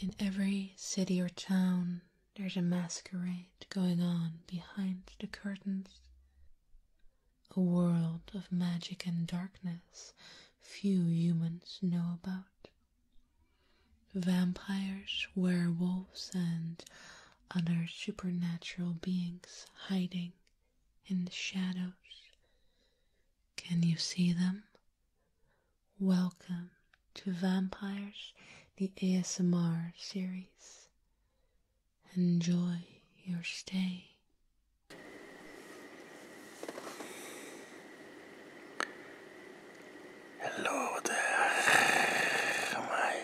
In every city or town, there's a masquerade going on behind the curtains. A world of magic and darkness few humans know about. Vampires, werewolves, and other supernatural beings hiding in the shadows. Can you see them? Welcome to Vampires, the ASMR series. Enjoy your stay. Hello there, my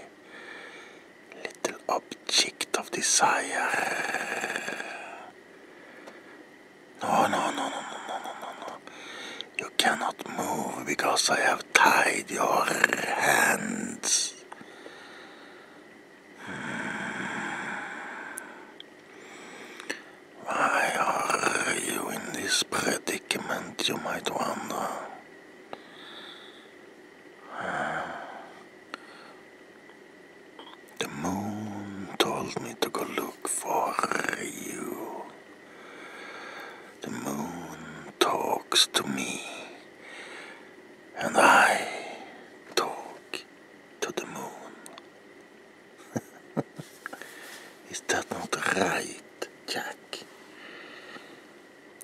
little object of desire. No, no, no, no, no, no, no, no. You cannot move because I have tied your hands. Hmm. Why are you in this predicament, you might wonder? The moon told me to go look for you. The moon talks to me, and I talk to the moon. Is that not right, Jack?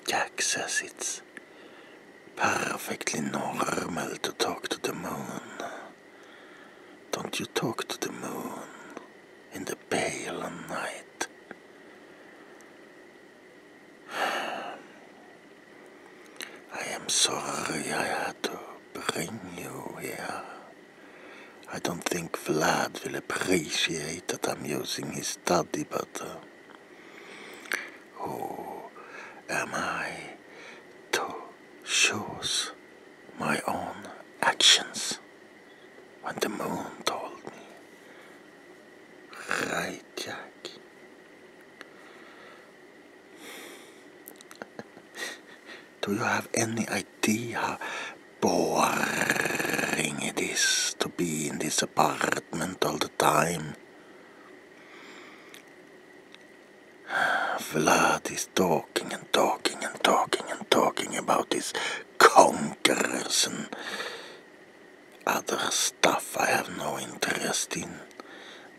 Jack says it's perfectly normal to talk to the moon. Don't you talk to the moon in the pale night? I am sorry I had to bring you here. I don't think Vlad will appreciate that I'm using his study, but uh, who am I to choose my own actions? When the moon told me, right, Jack? Do you have any idea how boring it is to be in this apartment all the time? Vlad is talking and talking and talking and talking about his conquerors and other stuff I have no interest in.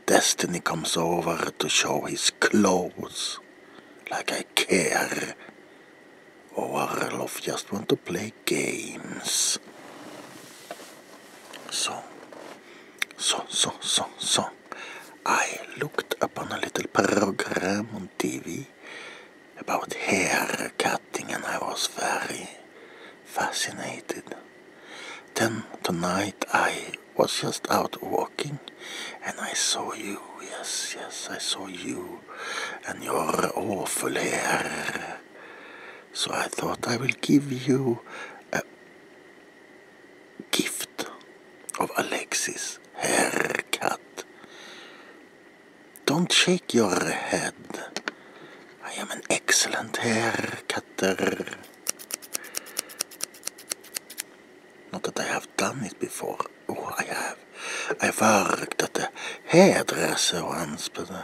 Destiny comes over to show his clothes, like I care. Or oh, Orlov just want to play games. So, so, so, so, so. I looked upon a little program on TV about hair cutting and I was very fascinated. Then tonight I was just out walking and I saw you. Yes, yes, I saw you and your awful hair. So I thought I will give you a, Gift of Alexis Haircut. Don't shake your head. I am an excellent hair cutter. Not that I have done it before. Oh, I have. I worked at a hairdresser once, but... Uh,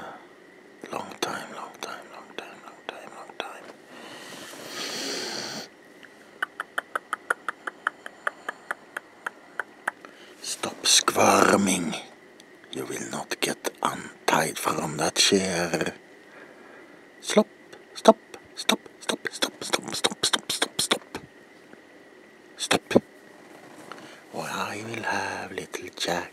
Long time, long time, long time, long time, long time. Stop squirming. You will not get untied from that chair. Stop, stop, stop, stop, stop, stop, stop, stop, stop, stop. Stop. Or I will have little Jack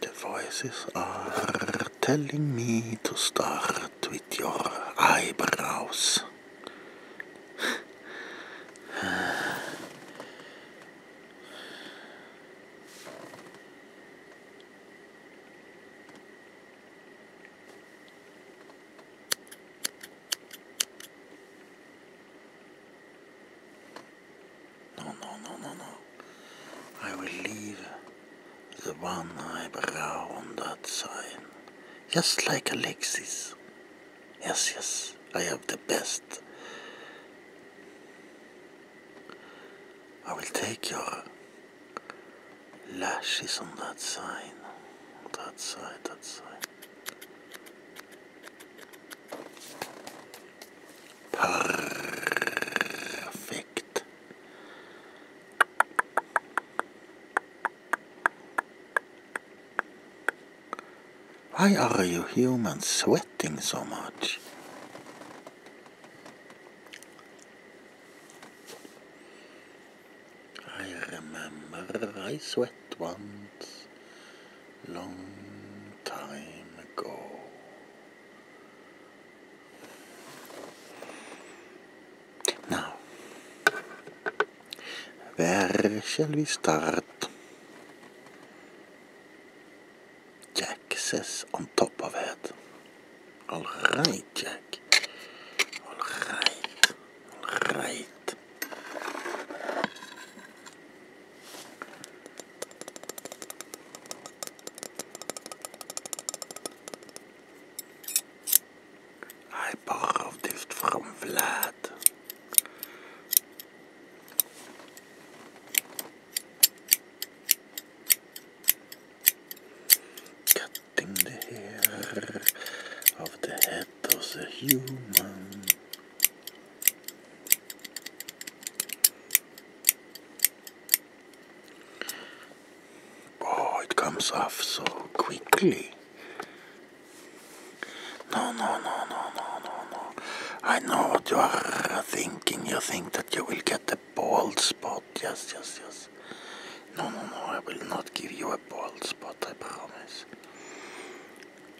The voices are telling me to start with your eyebrows. No, no, no, no, no. I will leave the one eyebrow on that side, Just like Alexis. Yes, yes, I have the best. I will take your lashes on that side, That side, that side. Perfect. Why are you humans sweating so much? I remember I sweat once long time ago. Now, where shall we start? Jack says on top of het. All right, Jack. All right. All right. I borrowed this from Vlad. Cutting the hair of the head. Kratos a human. Oh, it comes off so quickly. no, no, no, no, no, no. I know what you are thinking. You think that you will get a bald spot. Yes, yes, yes. No, no, no, I will not give you a bald spot, I promise.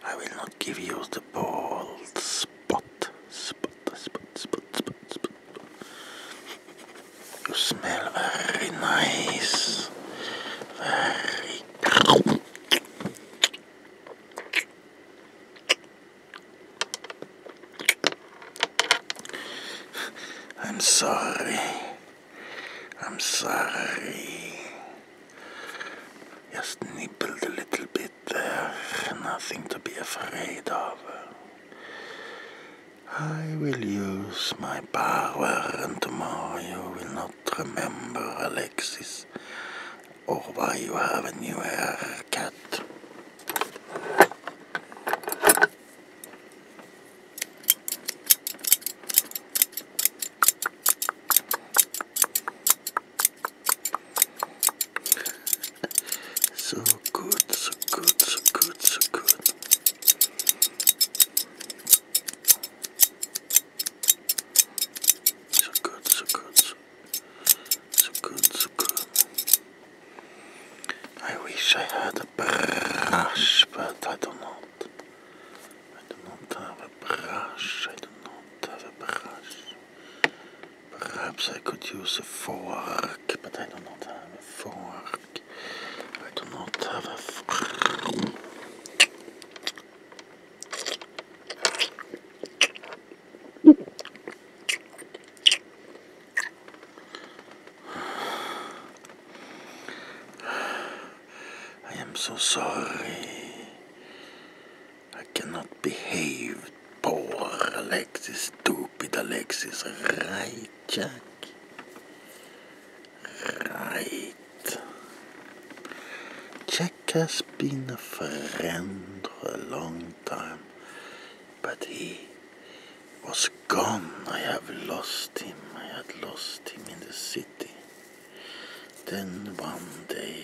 I will not give you the bald spot. Spot, spot, spot, spot, spot. You smell very nice. Very. I'm sorry. I'm sorry. Just nibbled a little bit there. Nothing to be afraid of. I will use my power and tomorrow you will not remember Alexis or why you have a new haircut so good, so good, so good, so good. So good, so good, so, so good, so good. I wish I had a brush, but I do not. I do not have a brush. I do not have a brush. Perhaps I could use a fork, but I do not have a fork. I do not have a fork. I am so sorry. I cannot behave. Poor Alexis, stupid Alexis. Right, Jack? Right. Jack has been a friend for a long time, but he was gone. I have lost him. I had lost him in the city. Then one day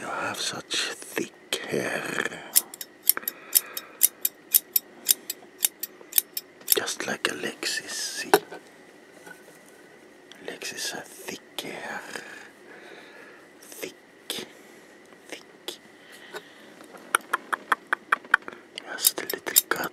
you have such thick hair. Just like Alexis, Alexis has thick hair. Thick. Thick. Just a little cut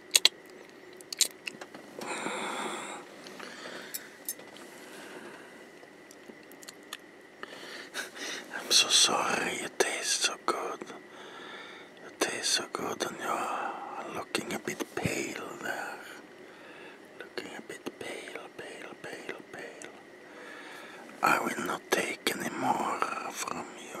I'm so sorry it tastes so good. It tastes so good and you're looking a bit pale there. Looking a bit pale, pale, pale, pale. I will not take any more from you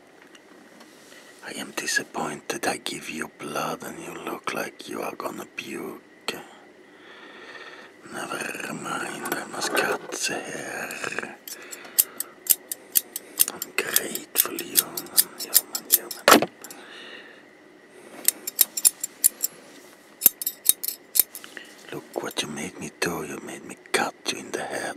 I am disappointed. I give you blood and you look like you are gonna puke. Never mind, I must cut the hair. I'm grateful, human, you human. Look what you made me do. You made me cut you in the head.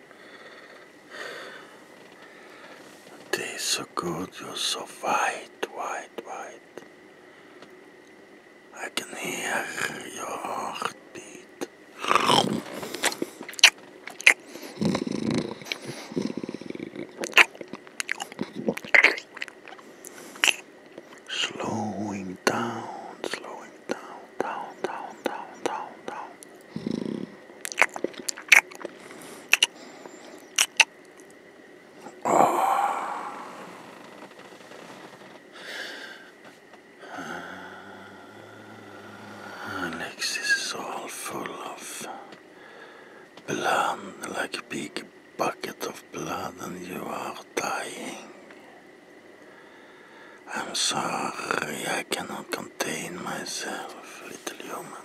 Taste so good, you're so white, white, white. I can hear your heartbeat. Slowing down, slowing down, down, down, down, down, down. Ah. all full of of blood, blood, like a big bucket and you are dying. I'm sorry, I cannot contain myself, little human.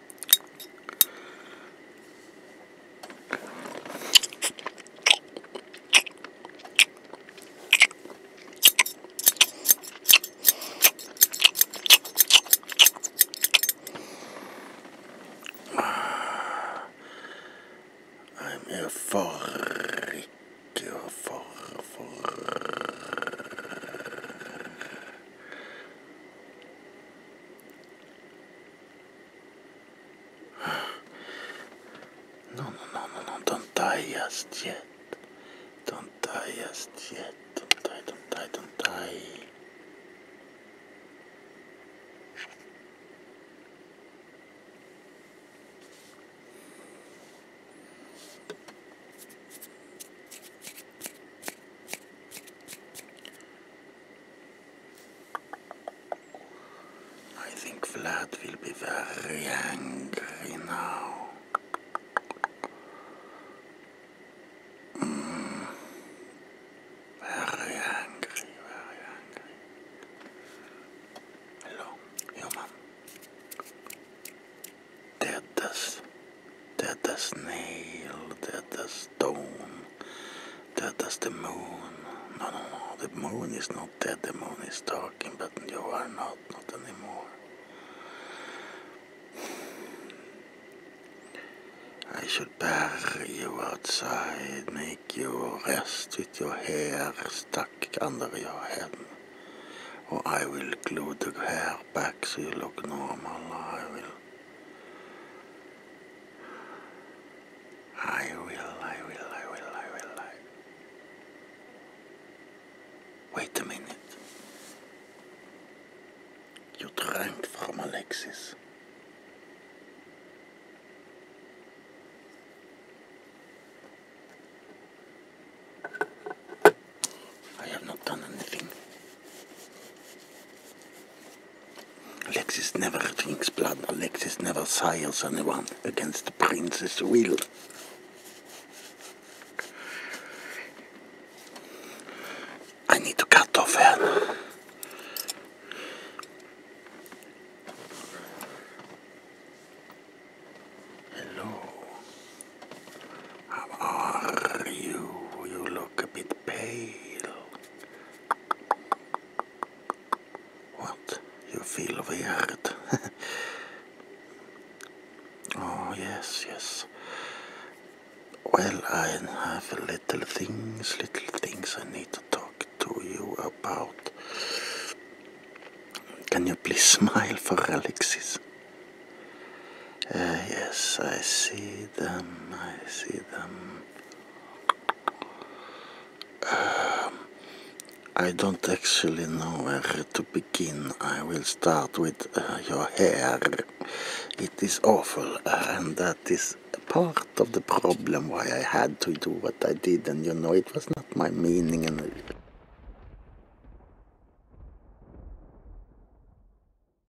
I'm euphoric, For you. No, no, no, no, no, don't die just yet. Don't die just yet. Don't die, don't die, don't die. I think Vlad will be very angry now. Mm. Very angry, Hello, human. Dead dead as nail, dead as stone, dead the moon. No, no, no, the moon is not that. the moon is talking, but you are not, not anymore. I should bury you outside, make you rest with your hair stuck under your head. Or I will glue the hair back so you look normal. I will I will, I will, I will, I will, Wait a minute. You drank from Alexis. I have not done anything. Alexis never drinks blood, Alexis never sires anyone against the prince's will. I need to cut off her. Hello. How are you? You look a bit pale. What? You feel weird. oh, yes, yes. Well, I have little things, little things I need to talk to you about. Can you please smile for Alexis? Uh, yes, I see them. I see them. Um, I don't actually know where to begin. I will start with uh, your hair. It is awful, and that is part of the problem why I had to do what I did, and you know, it was not my meaning.